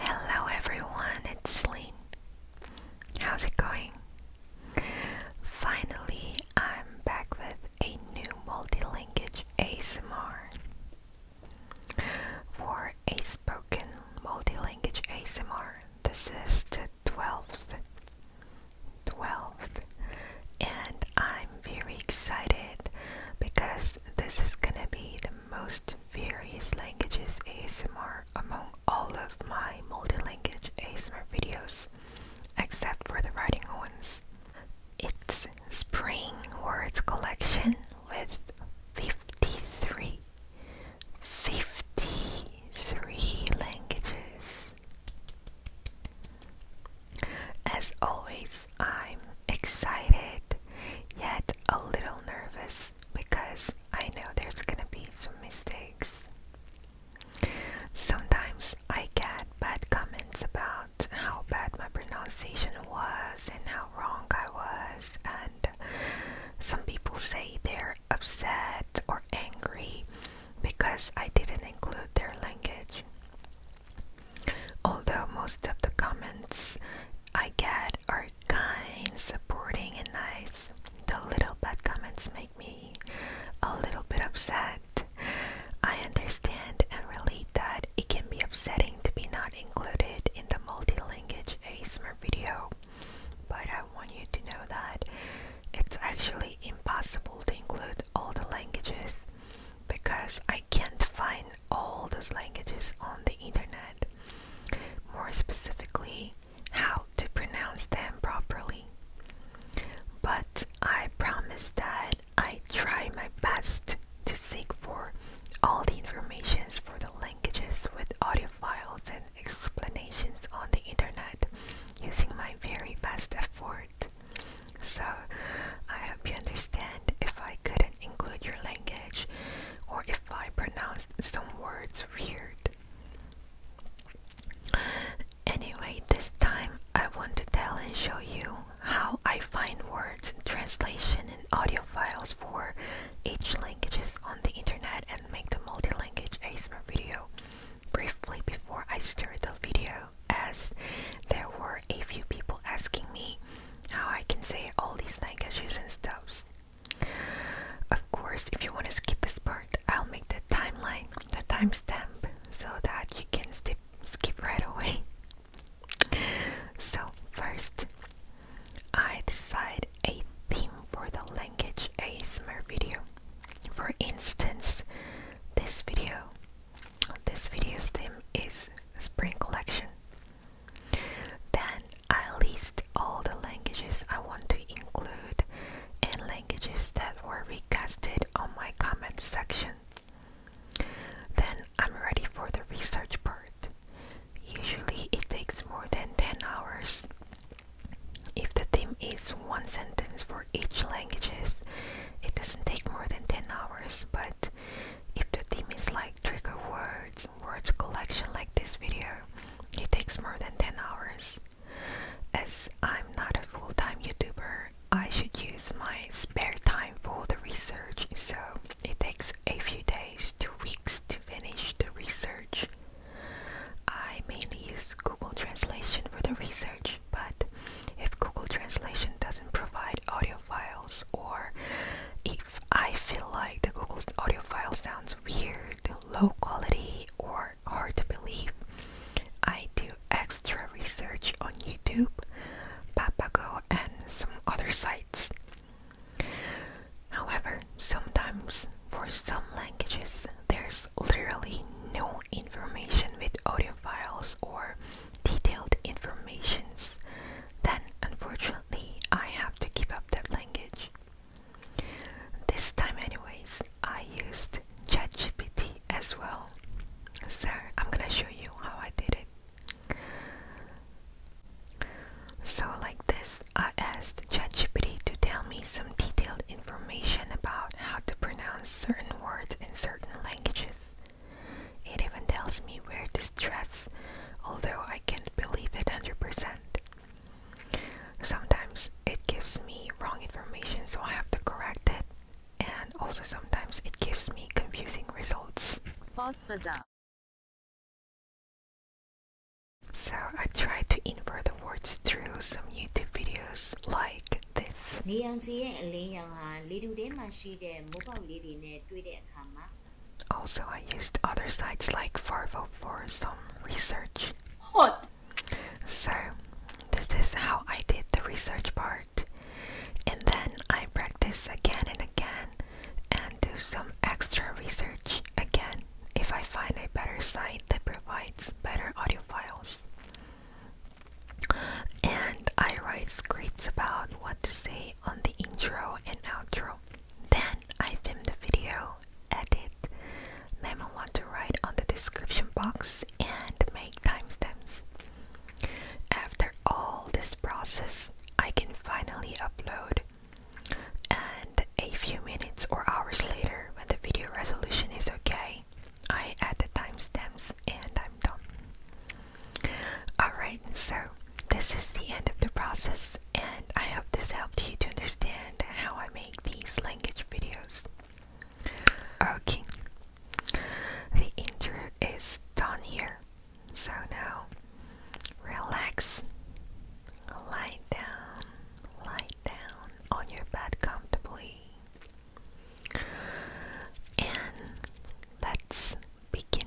Hello everyone, it's Lynn. How's it going? Finally, I'm back with a new multilingual ASMR. For a spoken multilingual ASMR, this is the 12th, 12th, and I'm I'm very excited because this is gonna be the most various languages ASMR among all of my multi ASMR videos except for the writing ones. It's Spring Words Collection with 53 53 languages as always, I'm excited yet a little nervous because I know there's gonna be some mistakes. Sometimes I get bad comments about how bad my pronunciation was and how wrong I was, and some people say they're upset or angry because I didn't include their language. Although most of the comments I get are kind, supporting, and nice, the little bad comments make me a little bit upset. I understand and relate that it can be upsetting to be not included in the multi-language ASMR video, but I want you to know that it's actually impossible to include all the languages because I can't find all those languages on the internet. More specifically, how to pronounce them properly. But I promise that I try my best to seek for all the informations for the languages with audio files and explanations on the internet using my very best effort. So I hope you understand if I couldn't include your language or if I pronounced some words weird. Anyway, this time I want to tell and show you how I find words, translation, and audio files for each languages on the internet and make the multi-language ASMR video briefly before I start the video as there were a few people asking me how I can say all these languages and stuff. Of course, if you want to skip this part, I'll make the timeline, the timestamp, so that you can skip skip right away. So first, I decide a theme for the language a smart video. For instance, this video this video's theme is spring collection. Then I list all the languages I want to include and languages that were requested on my comment section. Then I'm ready for the research part. Usually it takes more than 10 hours. If the theme is one sentence for each languages, it doesn't take more than 10 hours, but if the theme is like trigger words, words collection like this video, it takes more than 10 hours. As I'm not a full-time YouTuber, I should use my spare time for the research, so it takes a few days to weeks to finish the research. I mainly use Google Translation for the research, but if Google Translation doesn't provide audio files, or if I feel like the Google's audio file sounds weird, low quality, or hard to believe, I do extra research on YouTube, Papago, and some other sites. However, sometimes for some languages, there's literally no information with audio files or detailed informations, then unfortunately I have to keep up that language. This time anyways, I used ChatGPT as well. So I'm gonna show you how I did it. So like this, I asked ChatGPT to tell me some detailed information about how to pronounce certain words in certain languages. It even tells me where to stress, although I can't believe it 100%. Sometimes it gives me wrong information, so I have to correct it, and also sometimes it gives me confusing results. False bazaar. So I try to invert the words through some YouTube videos like this. Also, I used other sites like Farvo for some research. So, this is how I did the research part. And then I practice again and again and do some extra research again if I find a better site that provides better audio files. And I write scripts about what to say on the intro and outro. Then I film the video, edit, memo what to write on the description box, and make timestamps. After all this process, I can finally upload. And a few minutes or hours later, when the video resolution is okay, I add the timestamps and I'm done. Alright, so this is the end of the process, and I hope this helped you to understand how I make these language videos. Okay, the intro is done here, so now relax, lie down, lie down on your bed comfortably, and let's begin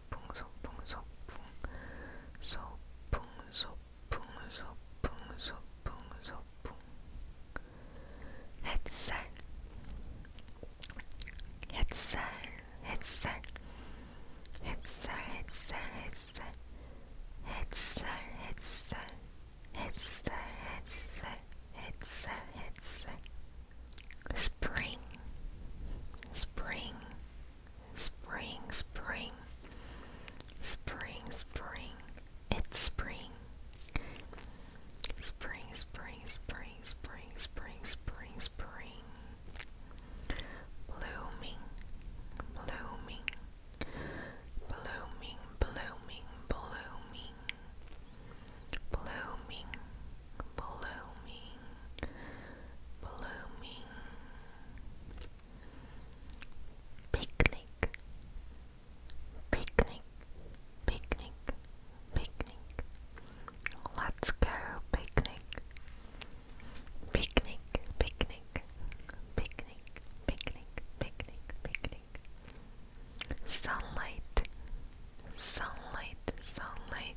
소풍 소풍 소풍 소풍 소풍 소풍 소풍 소풍 햇살 햇살 햇살 햇살 햇살 햇살 햇살 햇살 햇살 햇살 햇살 햇살 Spring, spring, spring, spring, spring, spring, it's spring. Spring, spring, spring, spring, spring, spring, spring. Blooming, blooming, blooming, blooming, blooming blooming, blooming, blooming. Picnic, picnic, picnic, picnic. Let's go picnic. Picnic, picnic, picnic, picnic, picnic, picnic. Sunlight, sunlight, sunlight,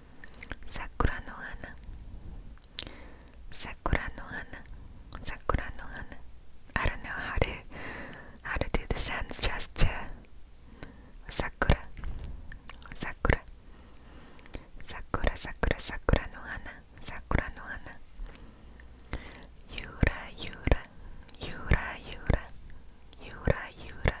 桜の花桜の花桜の花 I don't know how to how to do the sounds just to sakura sakura sakura sakura sakura no hana sakura no hana yura yura yura yura yura yura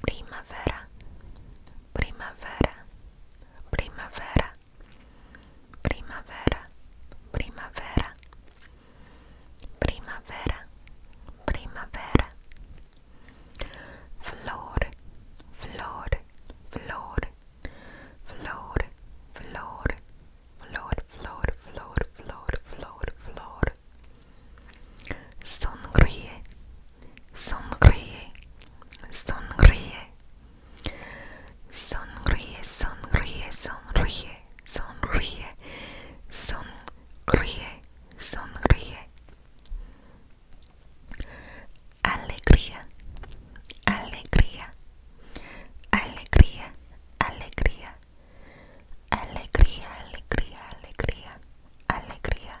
Primavera, primavera, primavera, primavera, primavera, primavera, primavera. Flor, flor, flor, flor, flor, flor, flor, flor, flor, flor, flor. Sonríe, Sonríe, sonríe, sonríe, sonríe, sonríe, sonríe, sonríe, sonríe. Alegría, alegría, alegría, alegría, alegría, alegría, alegría, alegría.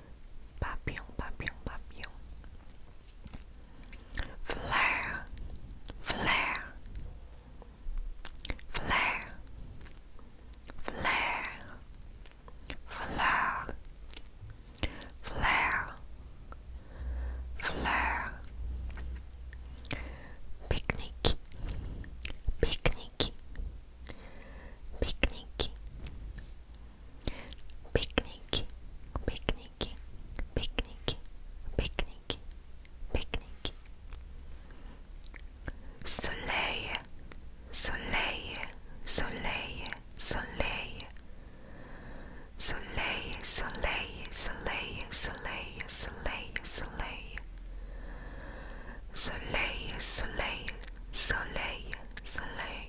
Flare, flare, flare, flare, flare, flare, flare. Picnic, picnic, picnic, Picnic, picnic, picnic, picnic, picnic. Soleil, soleil, soleil, soleil. Soleil, soleil, soleil, soleil, soleil, soleil. Soleil, soleil, soleil, soleil.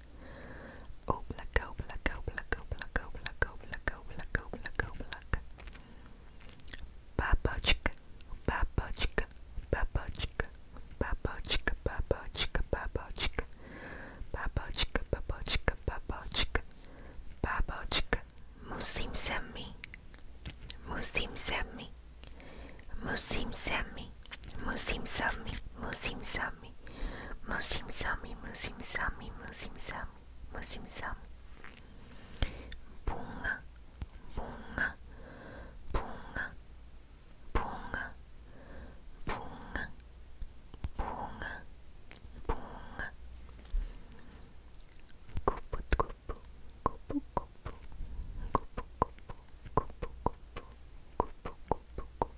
Oblak, oblak, oblak, oblak, oblak, oblak, oblak, oblak, oblak. Babochka, babochka, babochka, babochka, babochka, babochka. Babochka, babochka, babochka, babochka. Musim semi, musim semi, musim semi. Musim Sami, Musim Sami, Musim Sami, Musim Sami, Musim Sami, Musim Sami. Bunga, bunga, bunga, bunga, bunga, bunga, bunga. Kupu, kupu, kupu, kupu, kupu, kupu, kupu, kupu, kupu, kupu, kupu.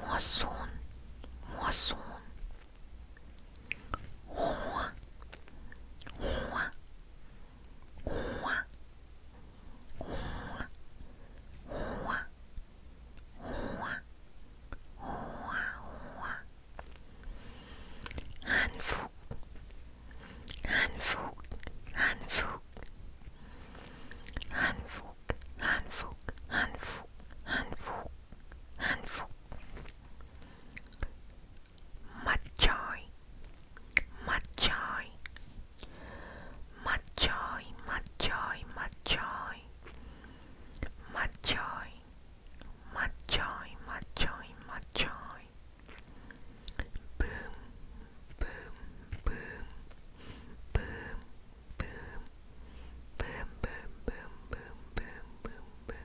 moisson, moisson. Roi, roi, roi, roi, roi, roi, roi. Handfug, handfug, handfug. Handfug, handfug, handfug handful, handful, handful. Matchai, matchai, matchai, matchai, matchai, matchai, matchai, Boom, boom, boom, boom, boom, boom, boom, boom, boom, boom, boom, boom,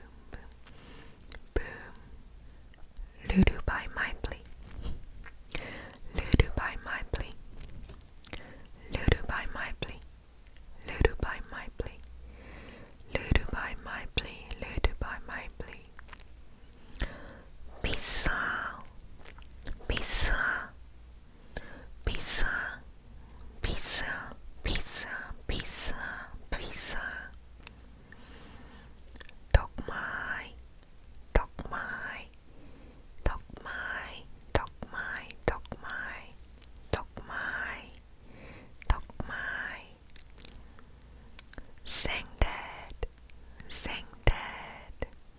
boom, boom. Ludo by Mindplay. Ludo by Mindplay. Ludo by my Ludo by Mindplay. Ludo by Mindplay. Ludo by Mindplay. Pizza. Pizza pizza, pizza, pizza, pizza, pizza. Dog my, dog my, dog my, dog my, dog my, dog my, dog my. Sang that, sang that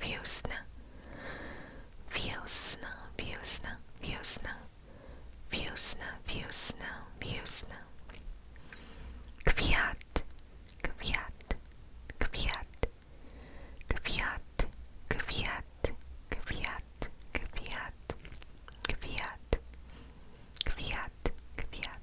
Весна. Весна, весна, весна. Весна, весна, весна. Квят. Квят. Квят. Квят. Квят. Квят. Квят. Квят. Квят. Квят.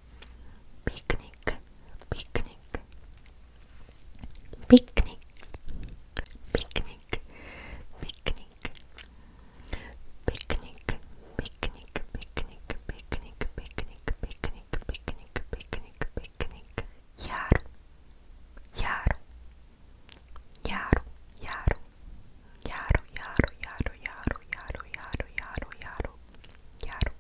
picnic, picnic, picnic, picnic, picnic, picnic, picnic, picnic, picnic, picnic, picnic, picnic, picnic, picnic, yar, yar, yar, yar, yar, yar, yar, yar, yar, yar, yar, yar, yar.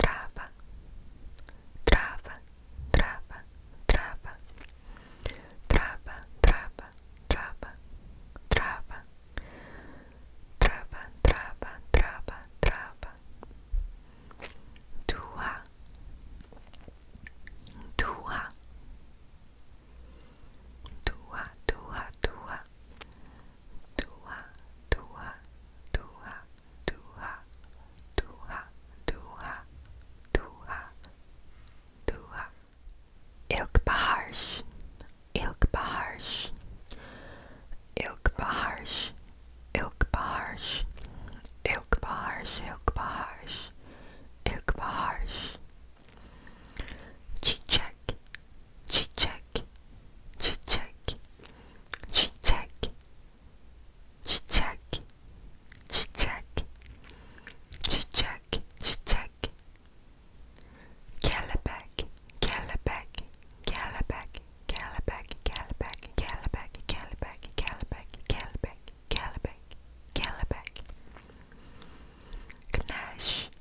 Trava, trava, trava, trava. Trava, trava, trava, trava. Trava, trava, trava, trava. Dua, dua. Dua, dua, dua. Tua, tua, tua, tua, tua, tua, tua, tua. Ilk baharsh, ilk baharsh, ilk baharsh, ilk baharsh, ilk baharsh, ilk baharsh, ilk baharsh. Check, cheek check, cheek check, cheek check, cheek check, cheek check, cheek check, cheek check, Calabac, Calabac, Calabac, Calabac, Calabac, Calabac, Calabac, Calabac, Calabac, Calabac, Calabac, Gnash.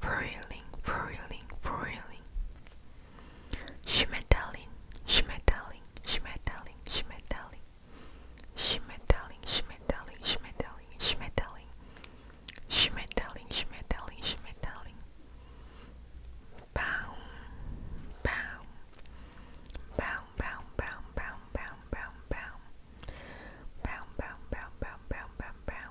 Frühling, Frühling, Frühling. Schmetterling, Schmetterling, Schmetterling, Schmetterling. Schmetterling, Schmetterling, Schmetterling, Schmetterling. Schmetterling, Schmetterling, Schmetterling. Baum, Baum. Baum, Baum, Baum, Baum, Baum, Baum, Baum. Baum, Baum, Baum, Baum, Baum, Baum, Baum.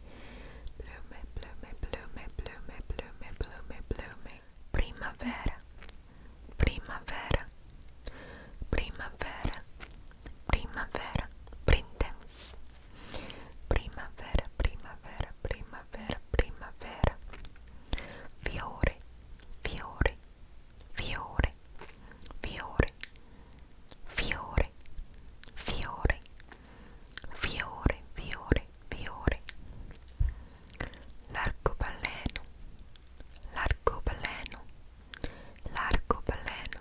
Plume, plume, plume, plume, plume, plume, plume. Primavera, primavera, primavera, primavera, brindemos. Primavera, primavera, primavera, primavera. Fiore, fiore, fiore, fiore, fiore, fiore. fiore, fiore, fiore. L'arcobaleno, l'arcobaleno, l'arcobaleno,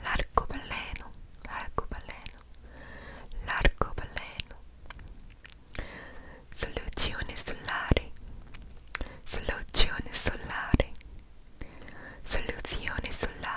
l'arcobaleno, l'arcobaleno, l'arcobaleno. Soluzione solare, soluzione solare, soluzione solare.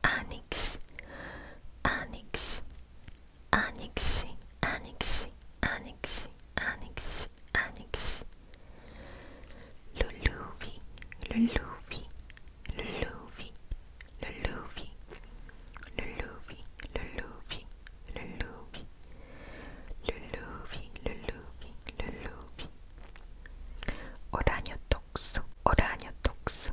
άνοιξη, άνοιξη, άνοιξη, άνοιξη, άνοιξη, άνοιξη, άνοιξη. Λουλούβι, λουλούβι, λουλούβι, λουλούβι, λουλούβι, λουλούβι, λουλούβι, λουλούβι, λουλούβι, λουλούβι. Ουράνιο τόξο, ουράνιο τόξο,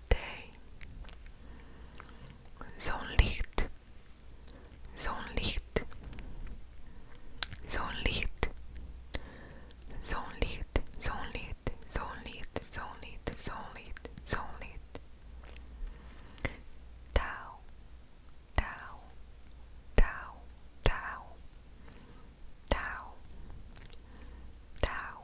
day. Zo'n licht, zo'n licht, zo'n licht, zo'n licht, zo'n licht, zo'n licht, zo'n licht, zo'n licht, zo'n licht. Tau, tau, tau, tau, tau, tau,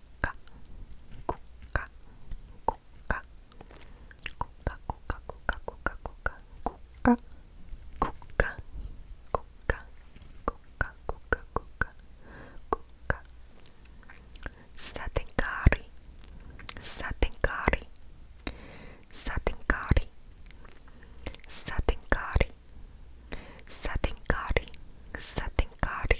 Kuka, kuka, kuka, kuka, kuka, kuka, kuka, kuka, kuka, kuka, kuka, kuka, kuka, kuka. Satinkari, satinkari, satinkari, satinkari, satinkari, satinkari.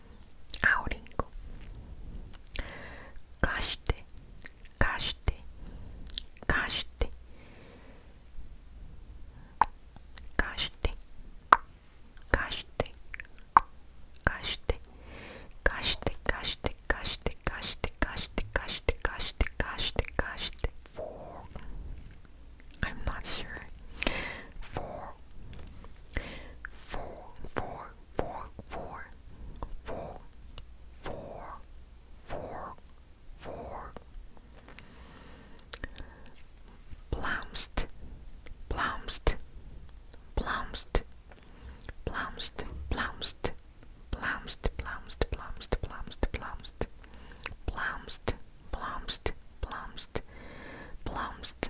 aurinko kashite kashite kashite kashite kashite kashite kashite kashite kashite kashite kashite kashite kashite kashite kashite four I'm not sure four four four four, four, four, four, four, four. Plumst, plumst, plumst, plumst, plumst, plumst, plumst, plumst, plumst, plumst, plumst, plumst, plumst, plumst.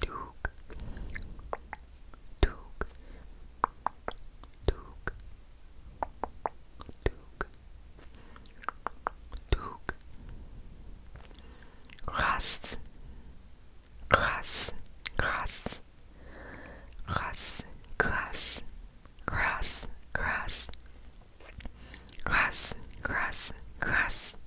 Duke, Duke, Duke, Duke, Duke, Ras, Ras, Ras, Ras, Ras, Ras, Ras, Ras, Ras, Ras.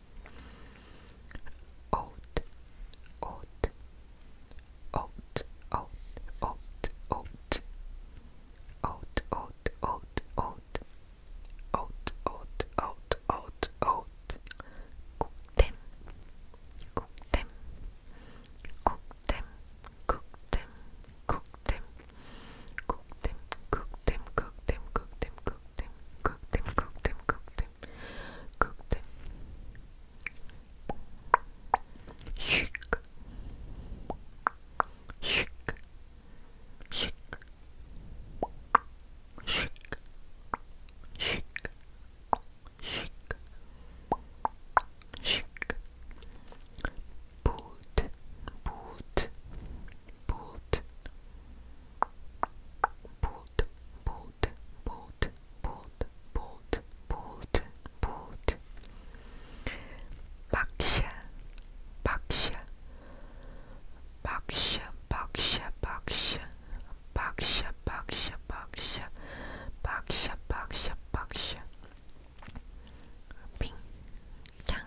oat oat oat oat oat oat oat oat oat oat oat oat oat oat oat cook them cook them cook them cook them cook them Cook them, cook them, cook them, cook them, cook them, cook them, cook them, cook them, cook them. Shake, shake, shake, shake, shake, shake, shake. Boot, boot, boot boot boot boot boot boot boot boot baksha baksha baksha baksha baksha baksha baksha baksha baksha baksha baksha ping yang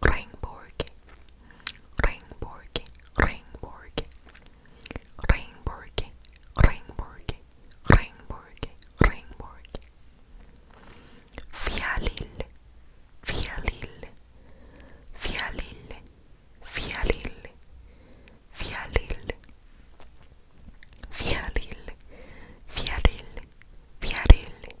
Regnborg, Regnborg, Regnborg, Regnborg, Regnborg, Regnborg, Regnborg. Fialil, Fialil, Fialil, Fialil, Fialil, Fialil, Fialil, Fialil,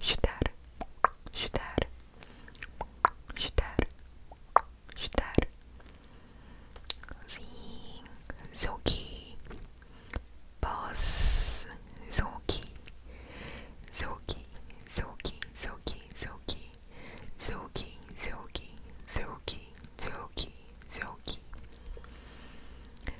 Chutar, chutar, chutar, chutar. Sim, zoki, boss, zoki, zoki, zoki, zoki, zoki, zoki, zoki, zoki, zoki.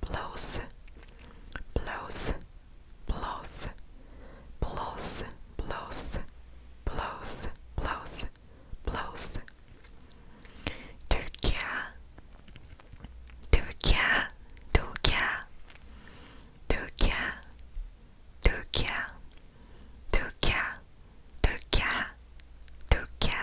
blows, blows, blows, blows, blows, blows, blows, blows. Türkiye, Türkiye, Türkiye, Türkiye, Türkiye, Türkiye, Türkiye,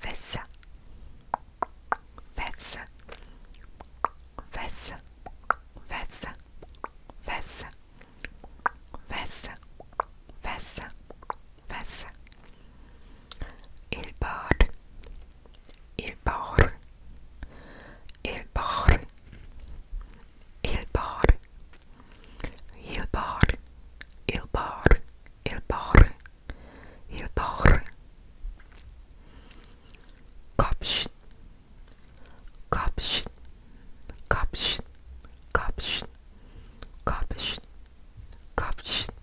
Vessa Vessa Vessa Vessa Vessa Vessa Vessa Vessa Il bar. Il bar. Il bar. Il bar. Il bar. Il bar. Il bar. Il bar. Kapş. Kapş. Kapş. Kapş. Kapş. Kapş.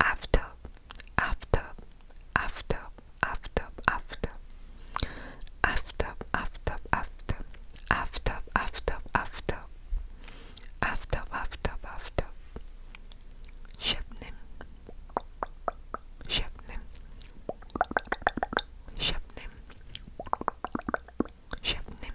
after, after, after, after, after, after, after, after, after, after, after, after, after, after. Shipnim, shipnim, shipnim, shipnim.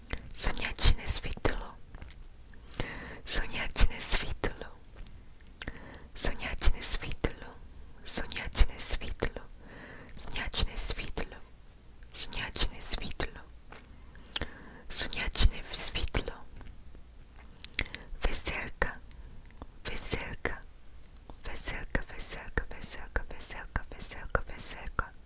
Сонячне світло, сонячне світло, сонячне світло, сонячне світло, сонячне світло, сонячне світло, сонячне світло, веселка, веселка, веселка, веселка, веселка, веселка, веселка, веселка,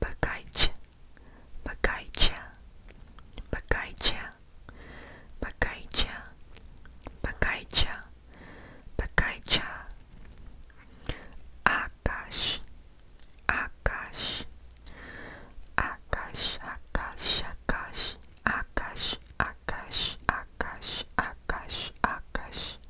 Bagaicha, bagaicha, bagaicha, bagaicha, bagaicha, bagaicha. Akash, akash, akash, akash, akash, akash, akash, akash, akash, akash.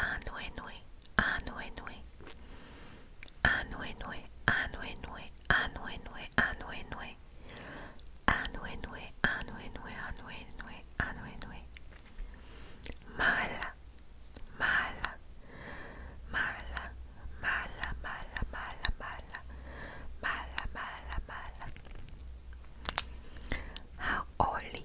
Anoué noué, anoué noué. Anoué noué, anoué noué, anoué noué, anoué noué. Anoué noué, anoué noué, anoué noué, anoué noué. Mala, mala, mala, mala, mala, mala, mala, mala, mala, mala. Haoli,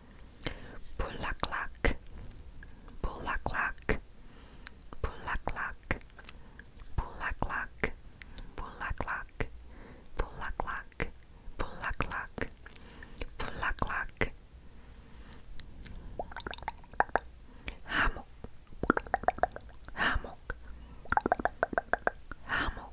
Bulaklak, Bulaklak, Bulaklak, Bulaklak, Bulaklak, Bulaklak, Bulaklak, Bulaklak, Hamok, Hamok, Hamok.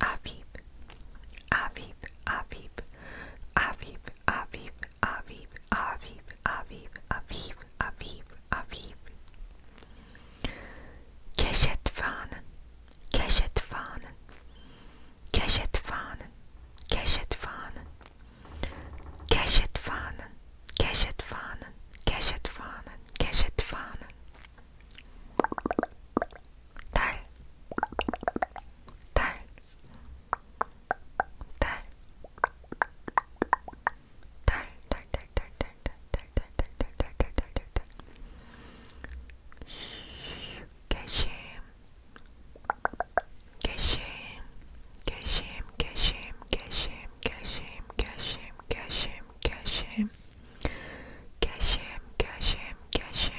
Abib, Abib, Abib, Abib, Abib, Abib, Abib, Abib, Abib, Abib, Abib. Keşet fanen, keşet fanen, keşet fanen, keşet fanen, keşet fanen, keşet fanen, keşet fanen, keşet fanen. 달, 달, 달, 달, 달, 달, 달, 달, 달, 달, 달, 달, 달, 달, 달, 달, 달. 개심, 개심, 개심, 개심, 개심, 개심, 개심, 개심, 개심, 개심, 개심, 개심.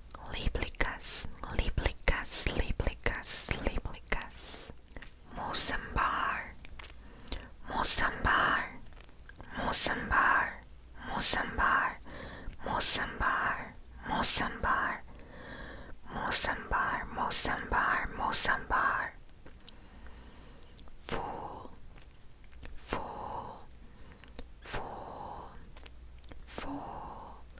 Léplicas, léplicas, léplicas, léplicas. Mosambar, Mosambar, Mosambar, Mosambar, Mosambar, Mosambar, Mosambar, Mosambar, Mosambar. Fool, fool, fool, fool,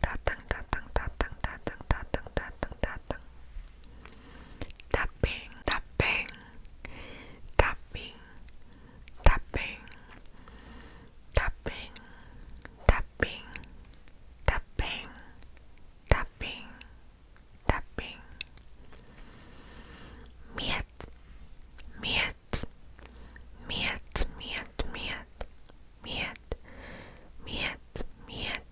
tatang tatang tatang tatang tatang tatang tapping tapping tapping tapping tapping tapping tapping tapping tapping miet miet miet miet miet miet, miet, miet,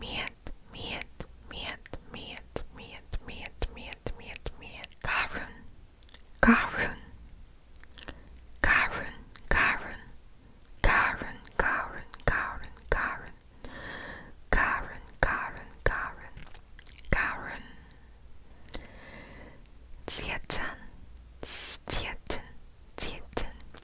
miet, miet, miet, miet, miet, miet, miet, miet, miet, miet, Karun, Karun, Karun, Karun, Karun, Karun, Karun, Karun, Karun, Karun, Karun, Karun. Tietan, Tietan, Tietan,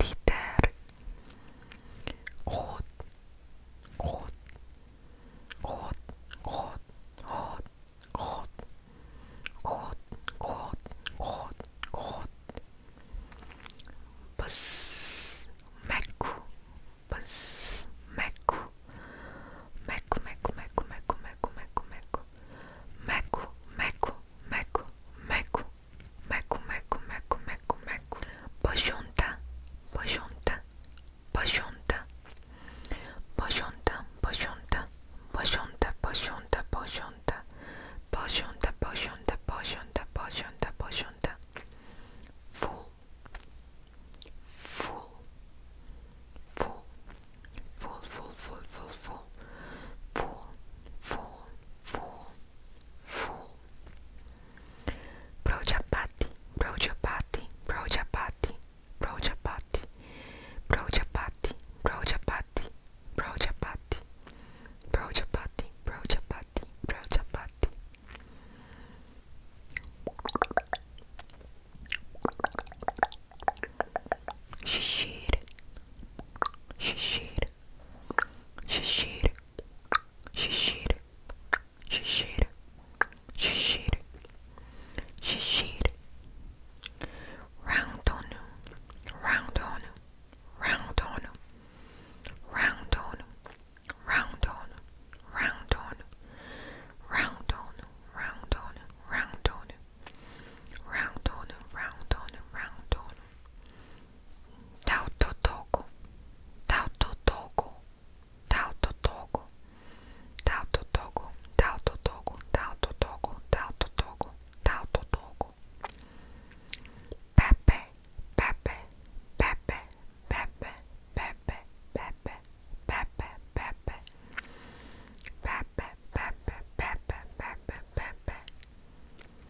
Dieter Rot Rot Rot Rot Rot Rot Rot Rot Rot Rot Bus Meku Bus Meku Meku Meku Meku Meku Meku Meku Meku Meku Meku Meku Meku Meku meku, meku, meku, meku, meku. Bożonta, bożonta, bożonta. Bożonta, bożonta, bożonta, bożonta, bożonta. Bożonta, bożonta, bożonta, bożonta, bożonta. Full, full, full, full, full, full, full, full fall, fall, fall, fall, fall. Projapati, Projapati, Projapati, Projapati, Projapati, Projapati, Projapati, Projapati, Projapati, Projapati. Shishir, Shishir, Shishir. Shishir. Shishir. Shishir. Shishir. Round on. Round on. Round on. Round on. Round on. Round on. Round on. Round on. Round on round on, round on, round on. Tauto togo, tauto togo, tauto togo, tauto togo, tauto togo, tauto togo, tauto togo, tauto togo. Pepe, pepe, pepe, pepe, pepe, pepe, pepe, pepe. Pepe, pepe, pepe, pepe, pepe.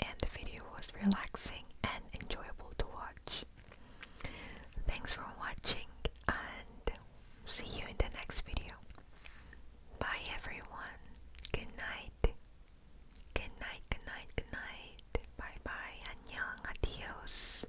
and the video was relaxing and enjoyable to watch. Thanks for watching and see you in the next video. Bye everyone. Good night. Good night, good night, good night. Bye bye. 안녕. Adios.